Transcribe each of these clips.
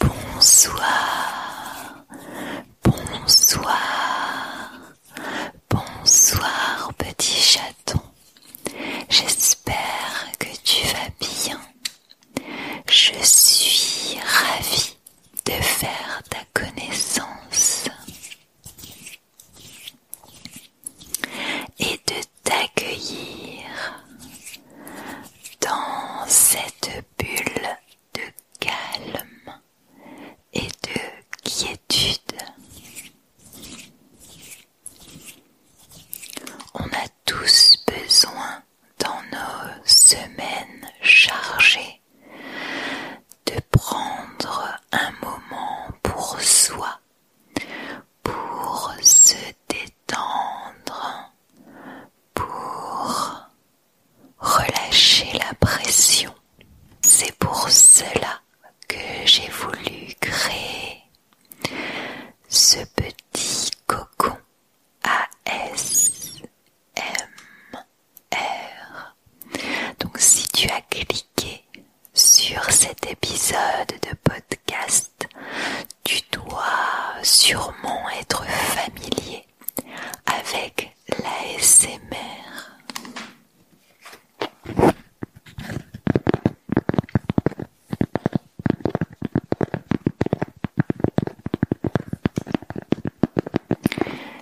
Bonsoir, bonsoir, bonsoir petit chaton. J'espère que tu vas bien. Je suis ravie de faire ta connaissance et de t'accueillir dans cette bulle de calme et de quiétude. On a tous besoin dans nos semaines chargées de prendre un moment pour soi, pour se détendre tendre pour relâcher la pression. C'est pour cela que j'ai voulu créer ce petit cocon ASMR. Donc si tu as cliqué sur cet épisode de podcast, tu dois sûrement être familier avec l'ASMR.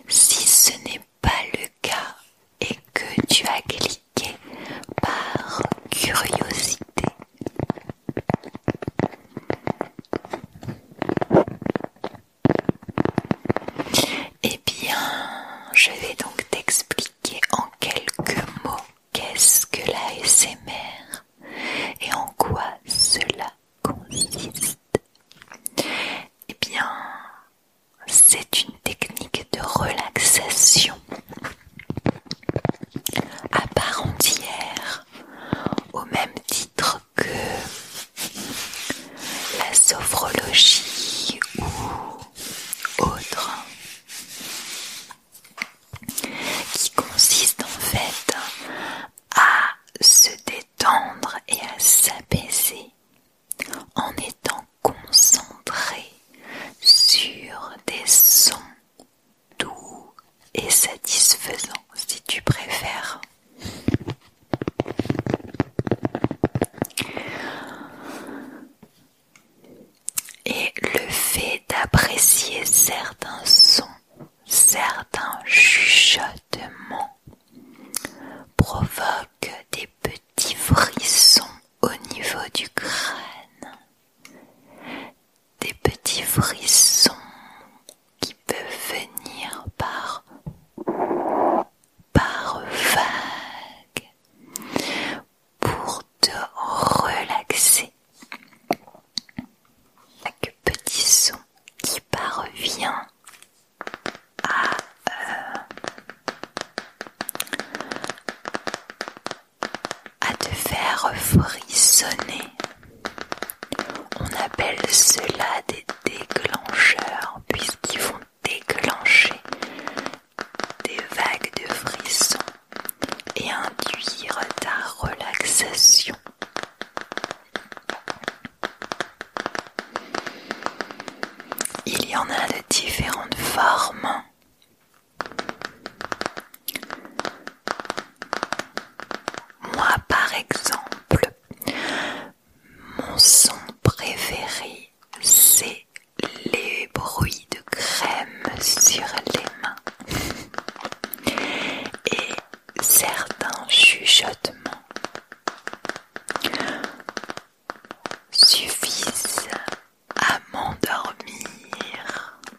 Si ce n'est pas le cas et que tu as cliqué par curiosité, eh bien, je vais donc t'expliquer en quelques mots qu'est-ce que la SMR et en quoi cela consiste. Eh bien, c'est une technique de relaxation à part entière au même titre que la sophrologie ou autre qui consiste en fait à se détendre et à s'apaiser en étant concentré sur des sons doux et satisfaisant si tu préfères. Et le fait d'apprécier certains sons, certains chuchotements provoque des petits frissons au niveau du crâne, des petits frissons qui peuvent venir par par vague pour te relaxer. Chaque petit son qui parvient à, euh, à te faire frissonner. On appelle cela des déclencheurs puisqu'ils vont déclencher des vagues de frissons et induire ta relaxation. Il y en a de différentes formes. Moi, par exemple, mon son préféré, c'est les bruits de crème sur les mains et certains chuchotements suffisent à m'endormir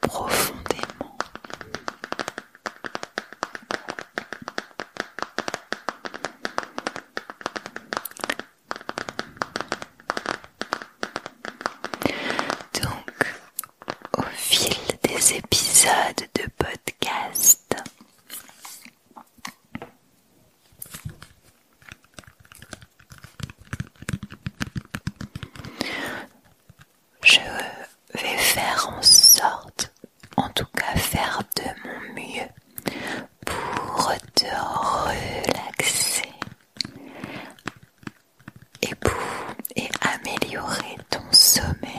profondément. Donc, au fil des épisodes de podcast, je vais faire en sorte, en tout cas faire de mon mieux pour te relaxer et pour améliorer ton sommeil.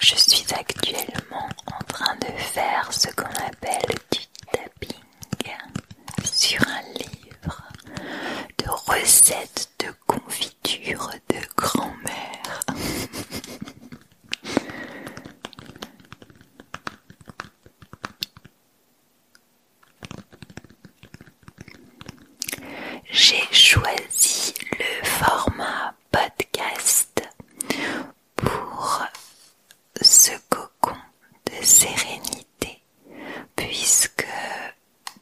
Je suis actuellement en train de faire ce qu'on appelle du tapping sur un livre de recettes de confiture de grand-mère. J'ai choisi le format podcast pour ce cocon de sérénité puisque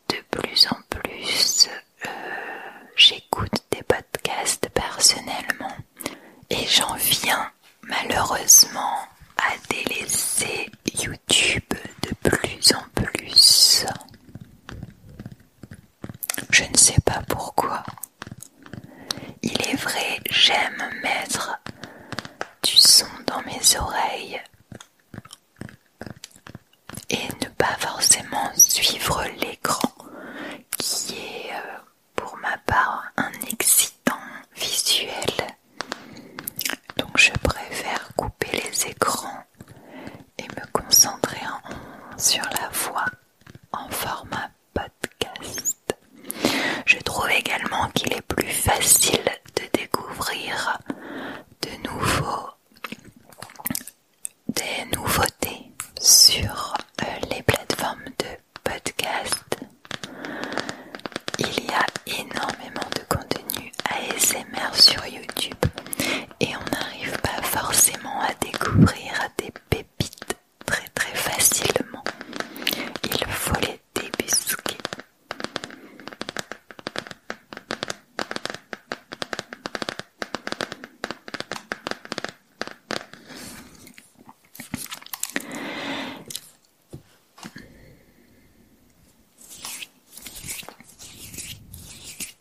de plus en plus euh, j'écoute des podcasts personnellement et j'en viens malheureusement à délaisser YouTube de plus en plus. Je ne sais pas pourquoi. Il est vrai, j'aime mettre du son dans mes oreilles et ne pas forcément suivre l'écran qui est euh, pour ma part un excitant visuel. Donc je préfère couper les écrans et me concentrer sur la voix en format podcast. Je trouve également qu'il est plus facile de découvrir de nouveaux des nouveautés sur euh, les plateformes de podcast. Il y a énormément de contenu ASMR sur YouTube et on n'arrive pas forcément à découvrir des pépites très très facilement. Il faut les débusquer.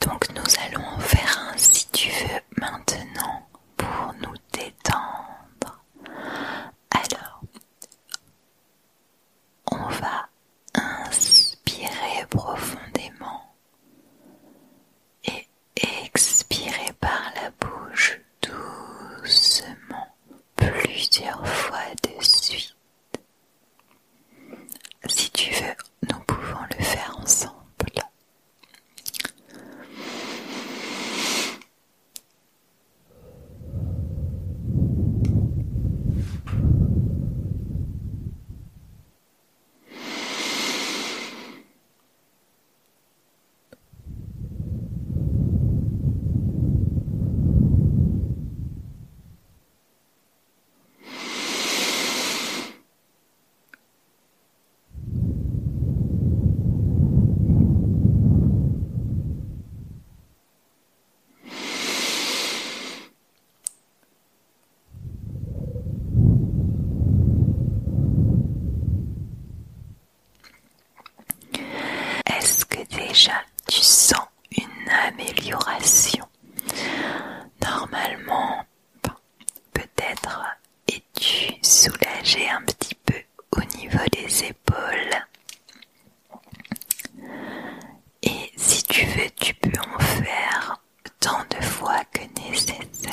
Donc nous allons faire un si tu veux maintenant pour nous détendre. Alors, on va inspirer profondément et expirer par la bouche doucement plusieurs fois de suite. Si tu veux, nous pouvons le faire ensemble. Est-ce que déjà tu sens une amélioration Normalement, peut-être es-tu soulagé un petit peu au niveau des épaules. Et si tu veux, tu peux en faire tant de fois que nécessaire.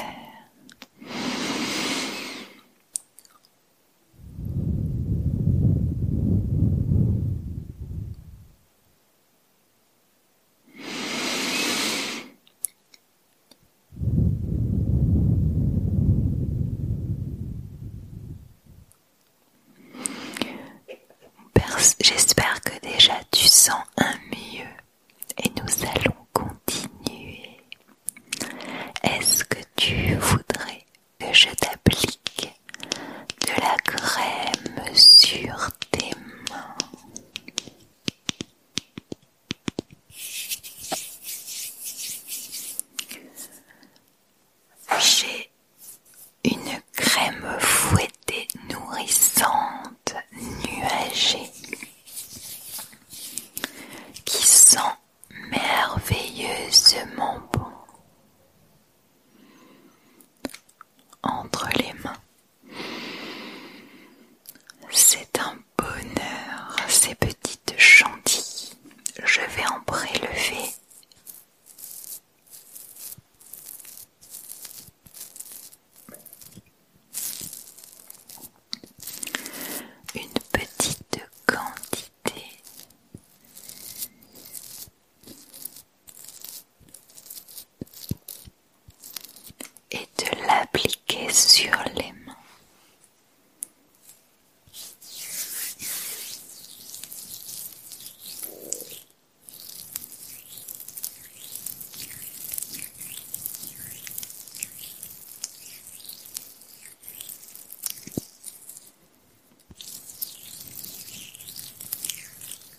J'espère que déjà tu sens un mieux et nous allons continuer. Est-ce que tu voudrais que je t'applique de la crème sur tes j'ai une crème fouettée nourrissante, nuagée, qui sent merveilleusement bon entre les mains. C'est un bonheur, ces petites chantilles. Je vais en prélever. Une petite quantité et de l'appliquer sur les mains.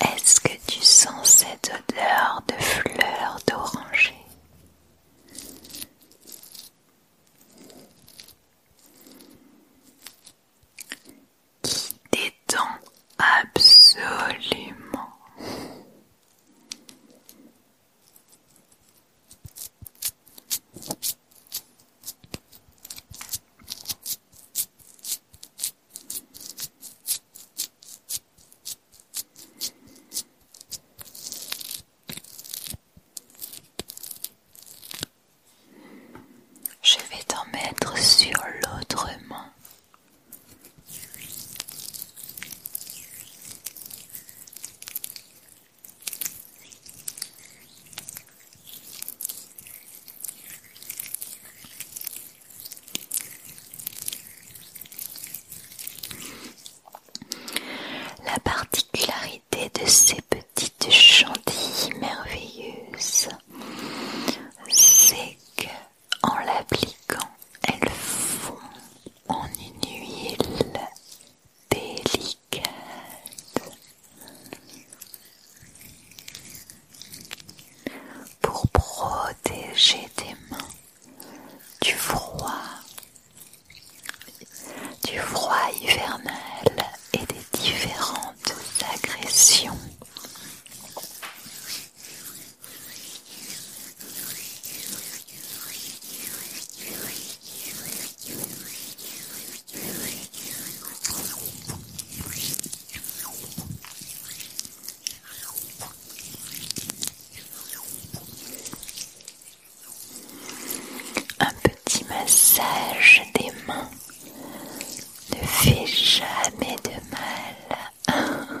Est-ce que tu sens cette odeur de fleurs d'oranger qui détend absolument je vais t'en mettre sur l'autre main. La particularité de ces petites chantilles merveilleuses, c'est qu'en l'appliquant, elles fondent en une huile délicate. Pour protéger tes mains du froid, du froid hivernal et des différentes agressions. Un petit massage des mains ne fait jamais de mal.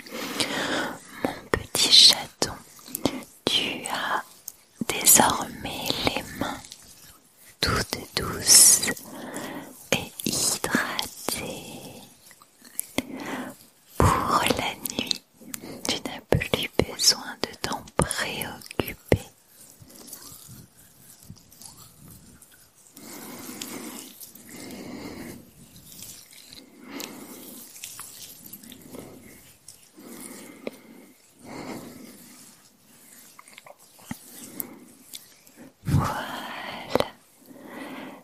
Mon petit chaton, tu as désormais les mains toutes douces et hydratées. Pour la nuit, tu n'as plus besoin de t'en préoccuper. Voilà.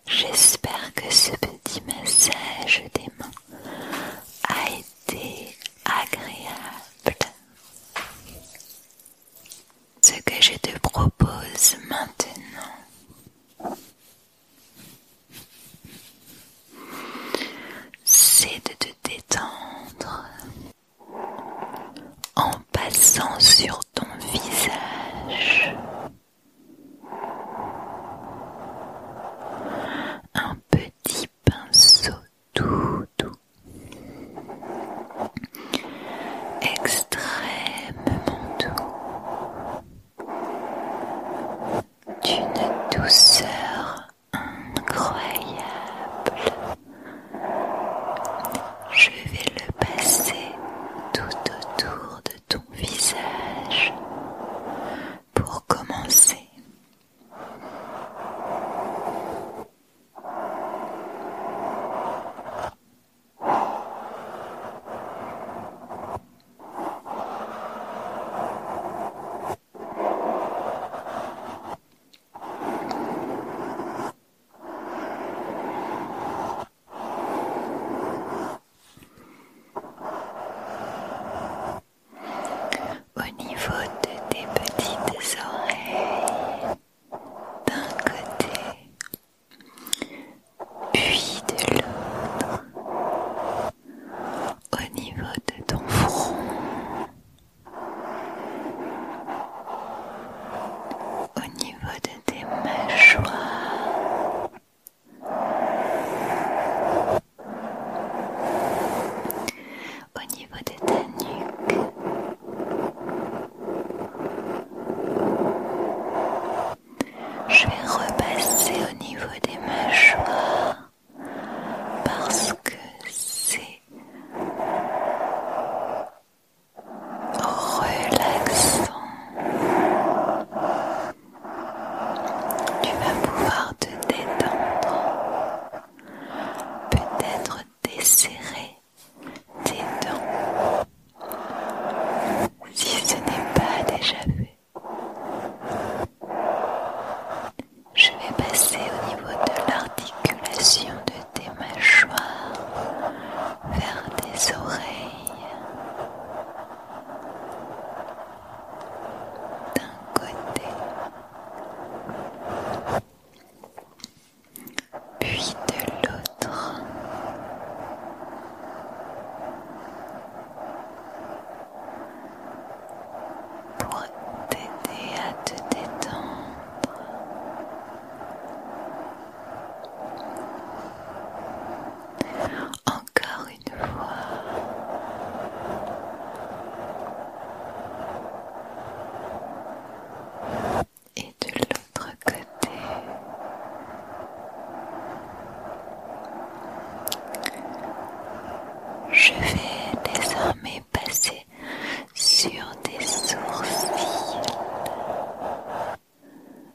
J'espère que ce petit massage des mains a été agréable. Ce que je te propose maintenant, c'est de te détendre en passant sur ton visage un petit pinceau tout doux, extrêmement doux, d'une douceur incroyable. Je vais le passer tout autour de ton visage pour commencer. Au niveau de tes petites oreilles, d'un côté, puis de l'autre, au niveau de ton front, au niveau de tes mâchoires au niveau des ta je vais repasser au niveau des mâchoires parce que c'est relaxant tu vas pouvoir te détendre, peut-être desserrer tes dents si ce n'est pas déjà fait. Je vais passer au niveau de l'articulation de tes mâchoires vers tes oreilles d'un côté puis de l'autre pour t'aider à te détendre encore une fois. Et de l'autre côté. Je vais désormais passer sur des sourcils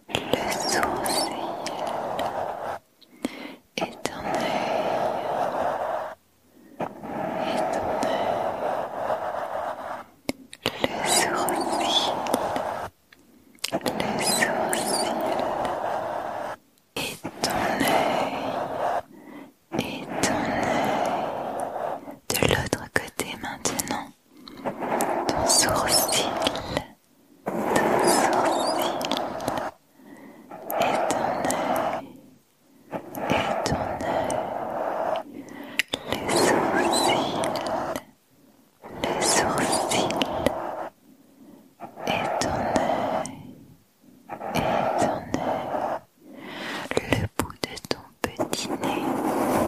le sourcil et ton œil, et ton œil, le sourcil, le sourcil et ton œil, et ton œil de l'autre côté maintenant ton sourcil, ton sourcil, et ton œil, et ton œil, les sourcils, les sourcils, et ton œil, et ton œil, le bout de ton petit nez.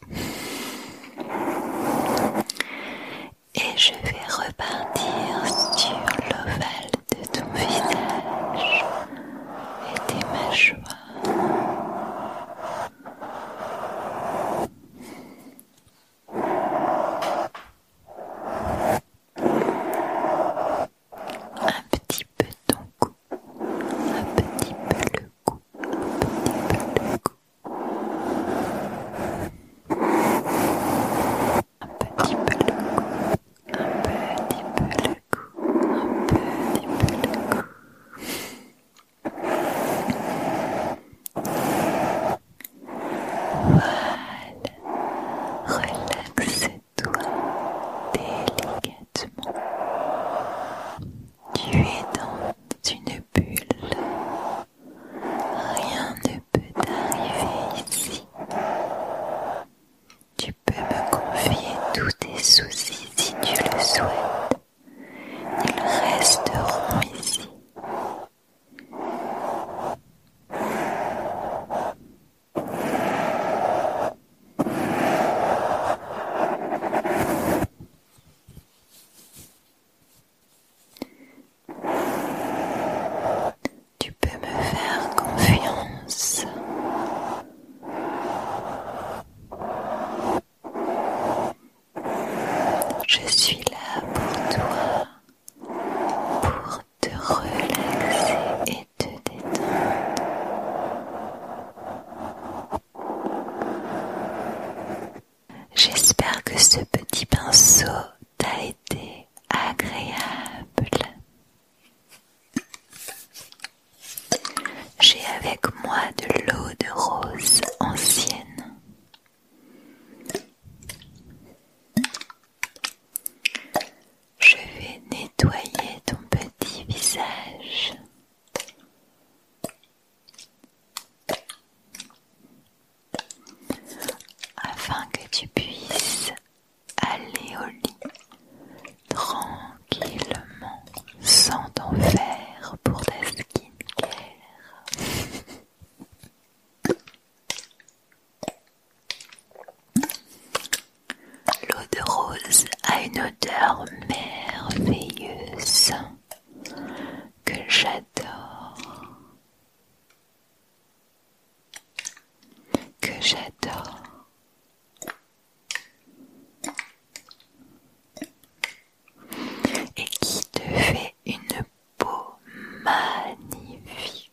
Et je vais repartir sur l'ovale de ton visage et tes mâchoires. Un petit peu ton cou, un petit peu le cou, un petit peu le cou. Un petit peu le cou, un petit peu le cou, un petit peu le cou. Voilà, relaxe-toi délicatement. Tu es dans une bulle. Rien ne peut arriver ici. Tu peux me confier tous tes soucis si tu le souhaites. Ils resteront ici. Tu peux me faire confiance. Je suis là pour toi, pour te relaxer et te détendre. J'espère que ce petit pinceau t'a été agréable. J'ai avec moi de l'eau de rose ancienne. Je vais nettoyer ton petit visage afin que tu puisses aller au lit tranquillement sans t'en faire pour ta skincare. L'eau de rose a une odeur merveilleuse que j'adore, que j'adore. Et qui te fait une peau magnifique.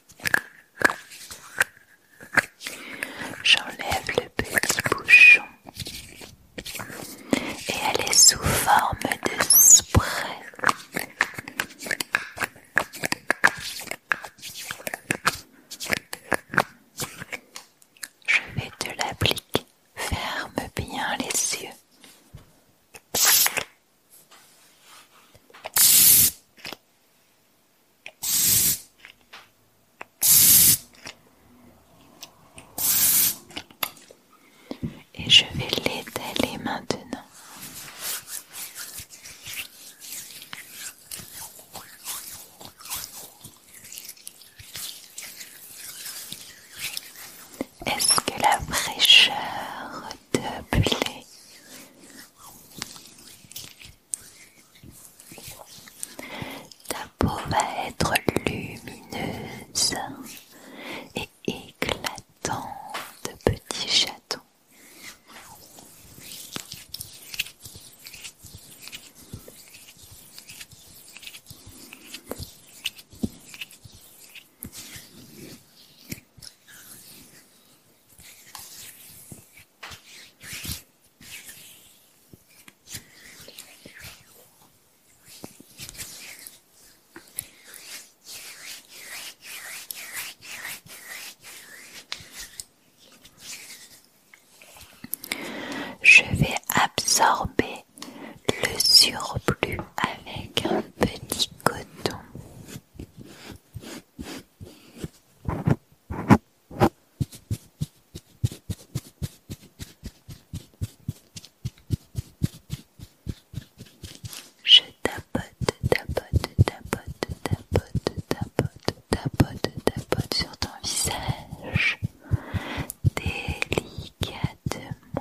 J'enlève le petit bouchon et elle est sous forme de spray. Je vais te l'appliquer. Ferme bien les yeux. Et je vais l'étaler maintenant. Est-ce que la fraîcheur ta peau va être lumineuse et éclatante, de chaton je vais absorber le surplus avec un petit coton. Je tapote, tapote, tapote, tapote, tapote, tapote, tapote sur ton visage délicatement.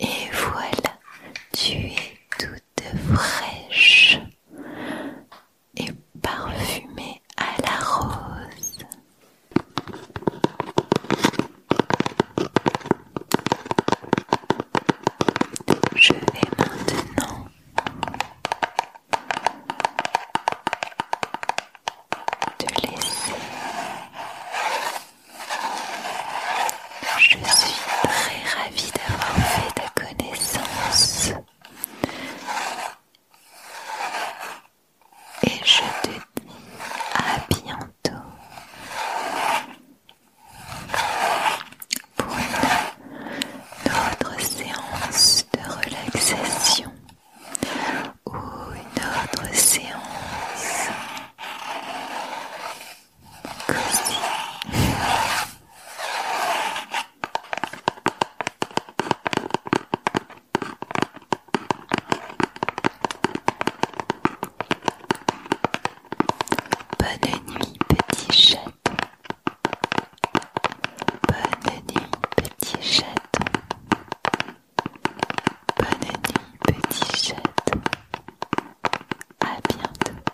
Et voilà, tu es toute fraîche et parfumée à la rose. Je vais maintenant te laisser je suis très ravie d'avoir fait ta connaissance. Et je te dis à bientôt pour une, autre séance de relaxation ou une autre séance Bonne nuit petit chat. Bonne nuit petit chaton. Bonne nuit, petit chat. À bientôt.